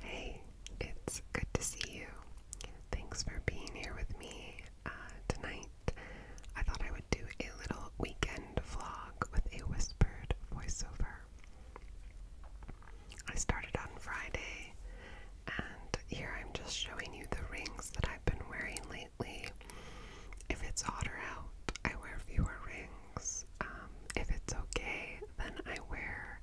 Hey, it's good to see you. Thanks for being here with me uh, tonight. I thought I would do a little weekend vlog with a whispered voiceover. I started on Friday, and here I'm just showing you the rings that I've been wearing lately. If it's hotter out, I wear fewer rings. Um, if it's okay, then I wear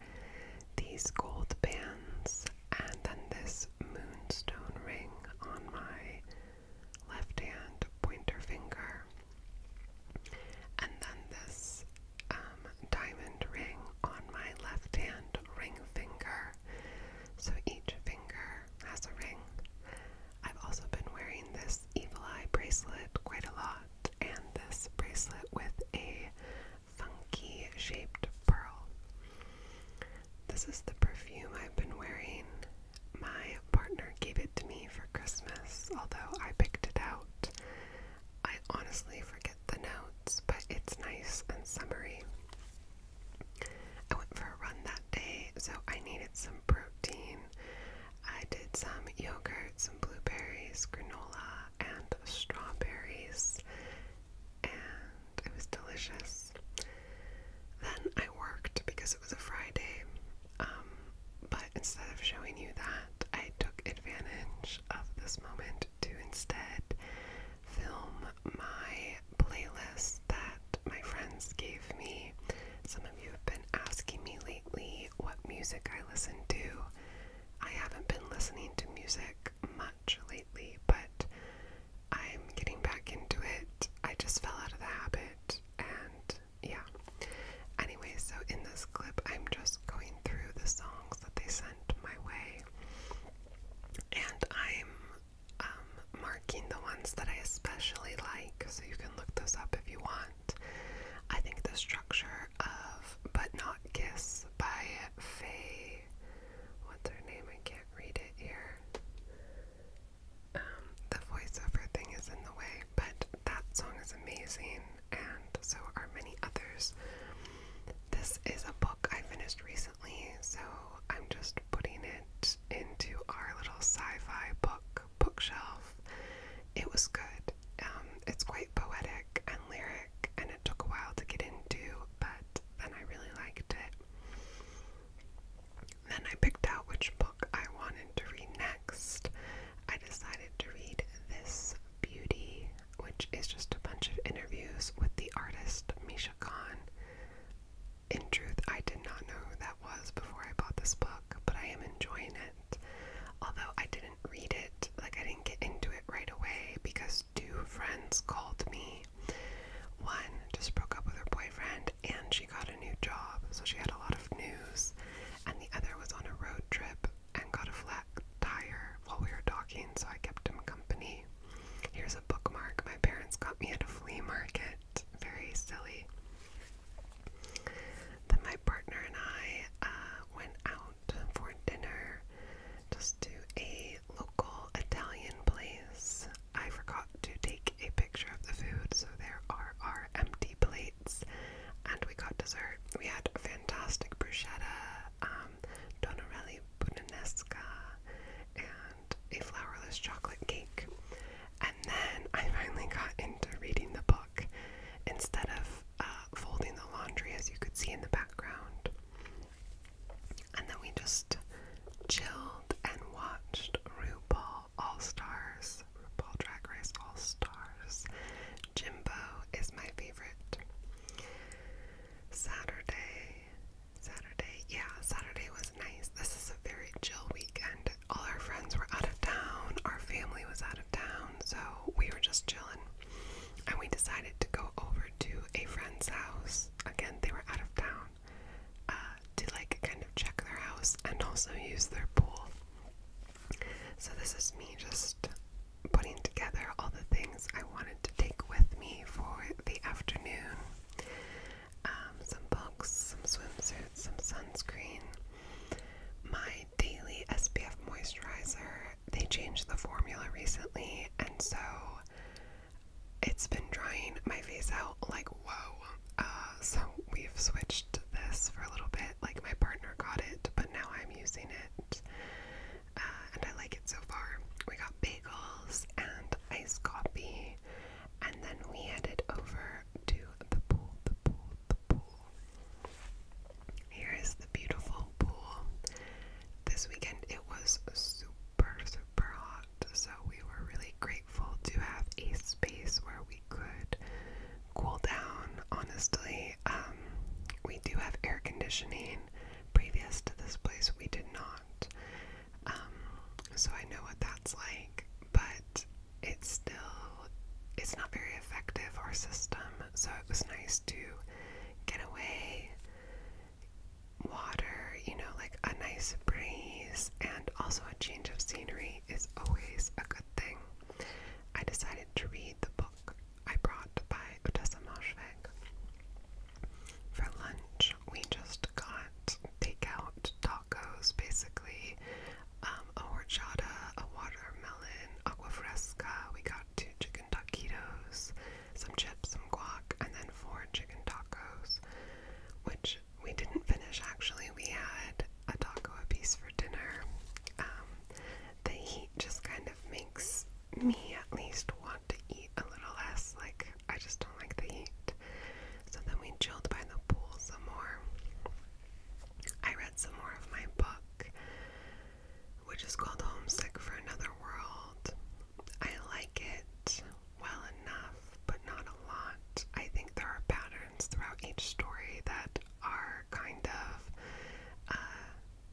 these gold bands and then this moonstone ring on my left hand pointer finger. And then this um, diamond ring on my left hand ring finger. So each finger has a ring. I've also been wearing this evil eye bracelet quite a lot and this bracelet with a funky shaped pearl. This is the perfume I've been wearing. My partner gave it to me for Christmas, although I picked it out. I honestly forget the notes, but it's nice and summery. I went for a run that day, so I needed some protein. I did some yogurt, some blueberries, granola, and strawberries, and it was delicious. Then I worked because it was a Friday, um, but instead of showing you that, I took advantage of this moment to instead film my playlist that my friends gave me. Some of you have been asking me lately what music I listen to. I haven't been listening to music much lately, but I'm getting back into it. I just fell out of the habit, and yeah. Anyway, so in this clip, I'm just going through the songs that they sent my way, and I'm um, marking the ones that I especially like, so you can look those up if you want. I think this track structure of But Not Kiss by Faye. What's her name? I can't read it here. Um, the voiceover thing is in the way, but that song is amazing, and so are many others. This is a book I finished recently, so I'm just putting it into our little sci fi book bookshelf. It was good. Um, it's quite poetic and lyric and it took a while to get into, but then I really liked it. Then I picked out which book I wanted to read next. I decided to read This Beauty, which is just a bunch of interviews with the artist Misha Khan. In truth, I did not know who that was before I bought this book, but I am enjoying it. Although I didn't read it, like I didn't get into it right away because two friends called me. One just broke up with her boyfriend and she got a new job, so she had a lot of news. And the other was on a road trip and got a flat tire while we were talking, so I kept him company. Here's a bookmark my parents got me at a flea market. Very silly. Then my partner and I uh, went out for dinner just to a local Italian place. I forgot to take a picture of the food, so there are our empty plates. And we got dessert. We had fantastic bruschetta, um, Donorelli and a flourless chocolate cake. And then I finally got into reading the book instead of uh, folding the laundry, as you could see in the background. And then we just chilled and watched RuPaul All Stars, RuPaul Drag Race All Stars. Jimbo is my favorite. Saturday, Saturday, yeah, Saturday was nice. This is a very chill weekend. All our friends were out of town, our family was out of town, so we were just chilling and we decided to go over to a friend's house. Again, they were out of town uh, to like kind of check their house and also use their pool. So, this is me just putting together all the things I wanted to take with me for the afternoon um, some books, some swimsuits, some sunscreen, my daily SPF moisturizer, they changed the formula recently, and so it's been drying my face out like whoa. Uh, so we've switched this for a little bit. Like my partner got it, but now I'm using it, uh, and I like it so far. We got bagels and iced coffee, and then we headed over to the pool, the pool, the pool. Here is the beautiful pool. This weekend it was super, super hot, so we were really grateful to have a space where we could cool down. Honestly, um, we do have air conditioning. Previous to this place, we did not. Um, so I know what that's like, but it's still it's not very effective our system so it was nice to getaway, water, you know, like a nice breeze, and also a change of scenery is always a good thing. I decided to read the book I brought by Odessa Moshveg. For lunch, we just got takeout tacos, basically, um, a horchata, a watermelon, aquafresca. We got two chicken chicken some chips, some guac, and then four chicken tacos, which we didn't finish actually. We had a taco piece for dinner. Um, the heat just kind of makes me at least want to eat a little less. Like, I just don't like the heat. So then we chilled by the pool some more. I read some more of my book which is called Homesick for Another World. I like it well enough, but not a lot. I think there are patterns throughout each story that are kind of uh,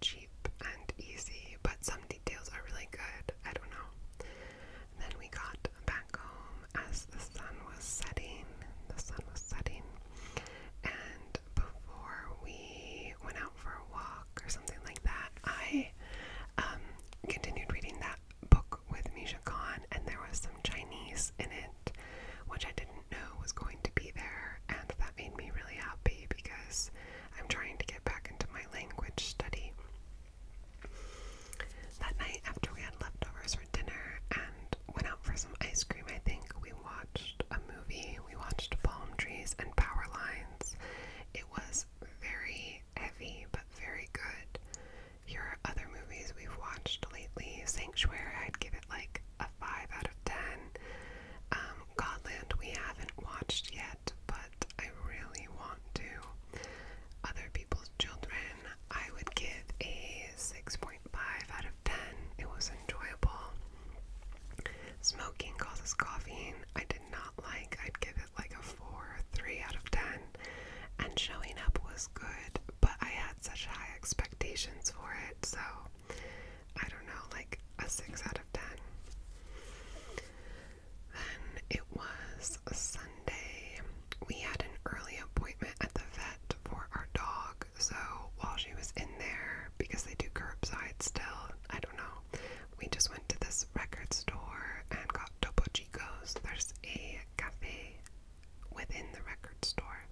cheap and easy, but some details are really good. I don't know. And then we got back home as the sun was setting. The sun was setting. And before we went out for a walk or something like that, I um, continued reading that book with Misha Khan, and there was some Chinese in it, which I didn't know was going to be there, and that made me really happy because I'm trying to get back into my language study. That night, after we had leftovers for dinner and went out for some ice cream, I think we we watched a movie. We watched Palm Trees and Power Lines. It was very heavy, but very good. Here are other movies we've watched lately. Sanctuary, I'd give it like a 5 out of 10. Um, Godland, we haven't watched yet, but I really want to. Other People's Children, I would give a 6.5 out of 10. It was enjoyable. Smoking causes coughing. I did not like. I'd give it like a 4 3 out of 10. And showing up was good, but I had such high expectations for it, so I don't know, like a 6 out of 10. Then it was Sunday. We had an early appointment at the vet for our dog, so while she was in there, because they do curbside still, out. I don't know. We just went to this record store and got Topo Chico's. There's a cafe within the record store.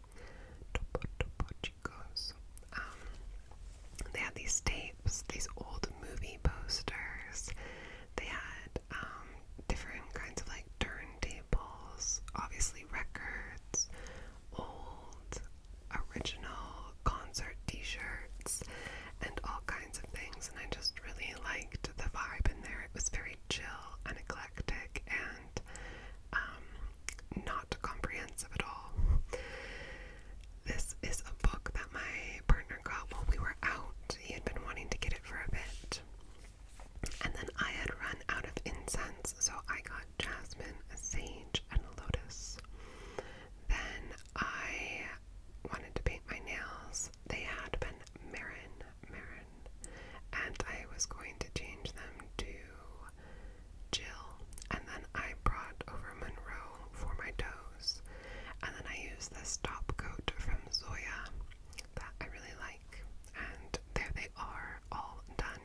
Topo Topo Chico's. Um, they had these tapes, these old movie posters. They had um, different kinds of like turntables, obviously records, old original concert t-shirts and all kinds of things and I just really liked the vibe in there. It was very chill and eclectic and um, not comprehensive at all. This is a book that my partner got while we were out. He had been wanting to get it for a bit. And then I had run out of incense, so I got jasmine, a sage, and a lotus. Then I wanted to paint my nails. They had been marin, marin, and I was going to change them to Jill. And then I brought over Monroe for my toes. And then I used this top coat from Zoya that I really like. And there they are, all done.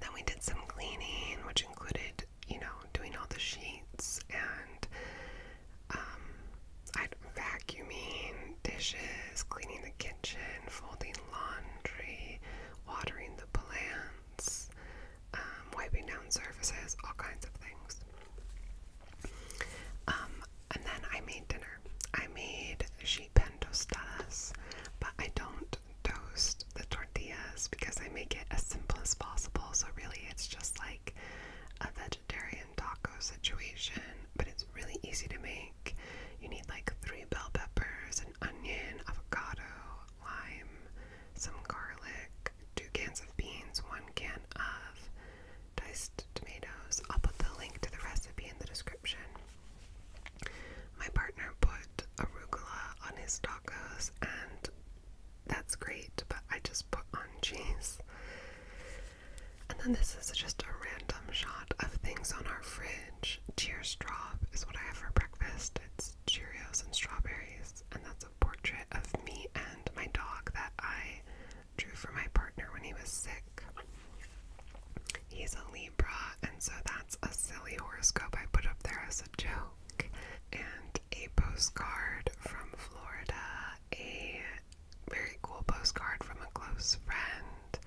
Then we did some cleaning, which included, you know, doing all the sheets and um, vacuuming dishes, cleaning the kitchen, folding laundry, watering the plants, um, wiping down surfaces, all kinds of things. Um, and then I made dinner. I made sheet pan tostadas, but I don't Toasted the tortillas because I make it as simple as possible. So, really, it's just like a vegetarian taco situation, but it's really easy to make. You need like three bell peppers, an onion, avocado, lime, some garlic, two cans of beans, one can of diced tomatoes. I'll put the link to the recipe in the description. My partner put arugula on his tacos, and that's great, but I just put on cheese. And then this is just a random shot of things on our fridge. Cheers drop is what I have for breakfast. It's Cheerios and strawberries, and that's a portrait of me and my dog that I drew for my partner when he was sick. He's a lead and so that's a silly horoscope I put up there as a joke. And a postcard from Florida, a very cool postcard from a close friend,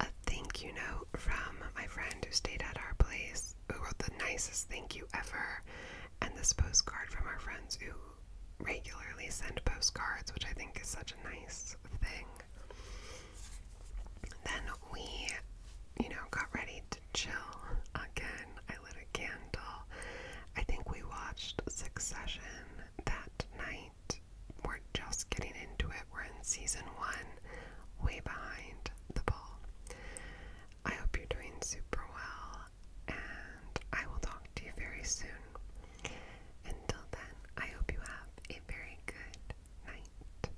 a thank you note from my friend who stayed at our place, who wrote the nicest thank you ever, and this postcard from our friends who regularly send postcards, which I think is such a nice thing. Then we, you know, got ready to chill again. I lit a candle. I think we watched Succession that night. We're just getting into it. We're in season one, way behind the ball. I hope you're doing super well, and I will talk to you very soon. Until then, I hope you have a very good night.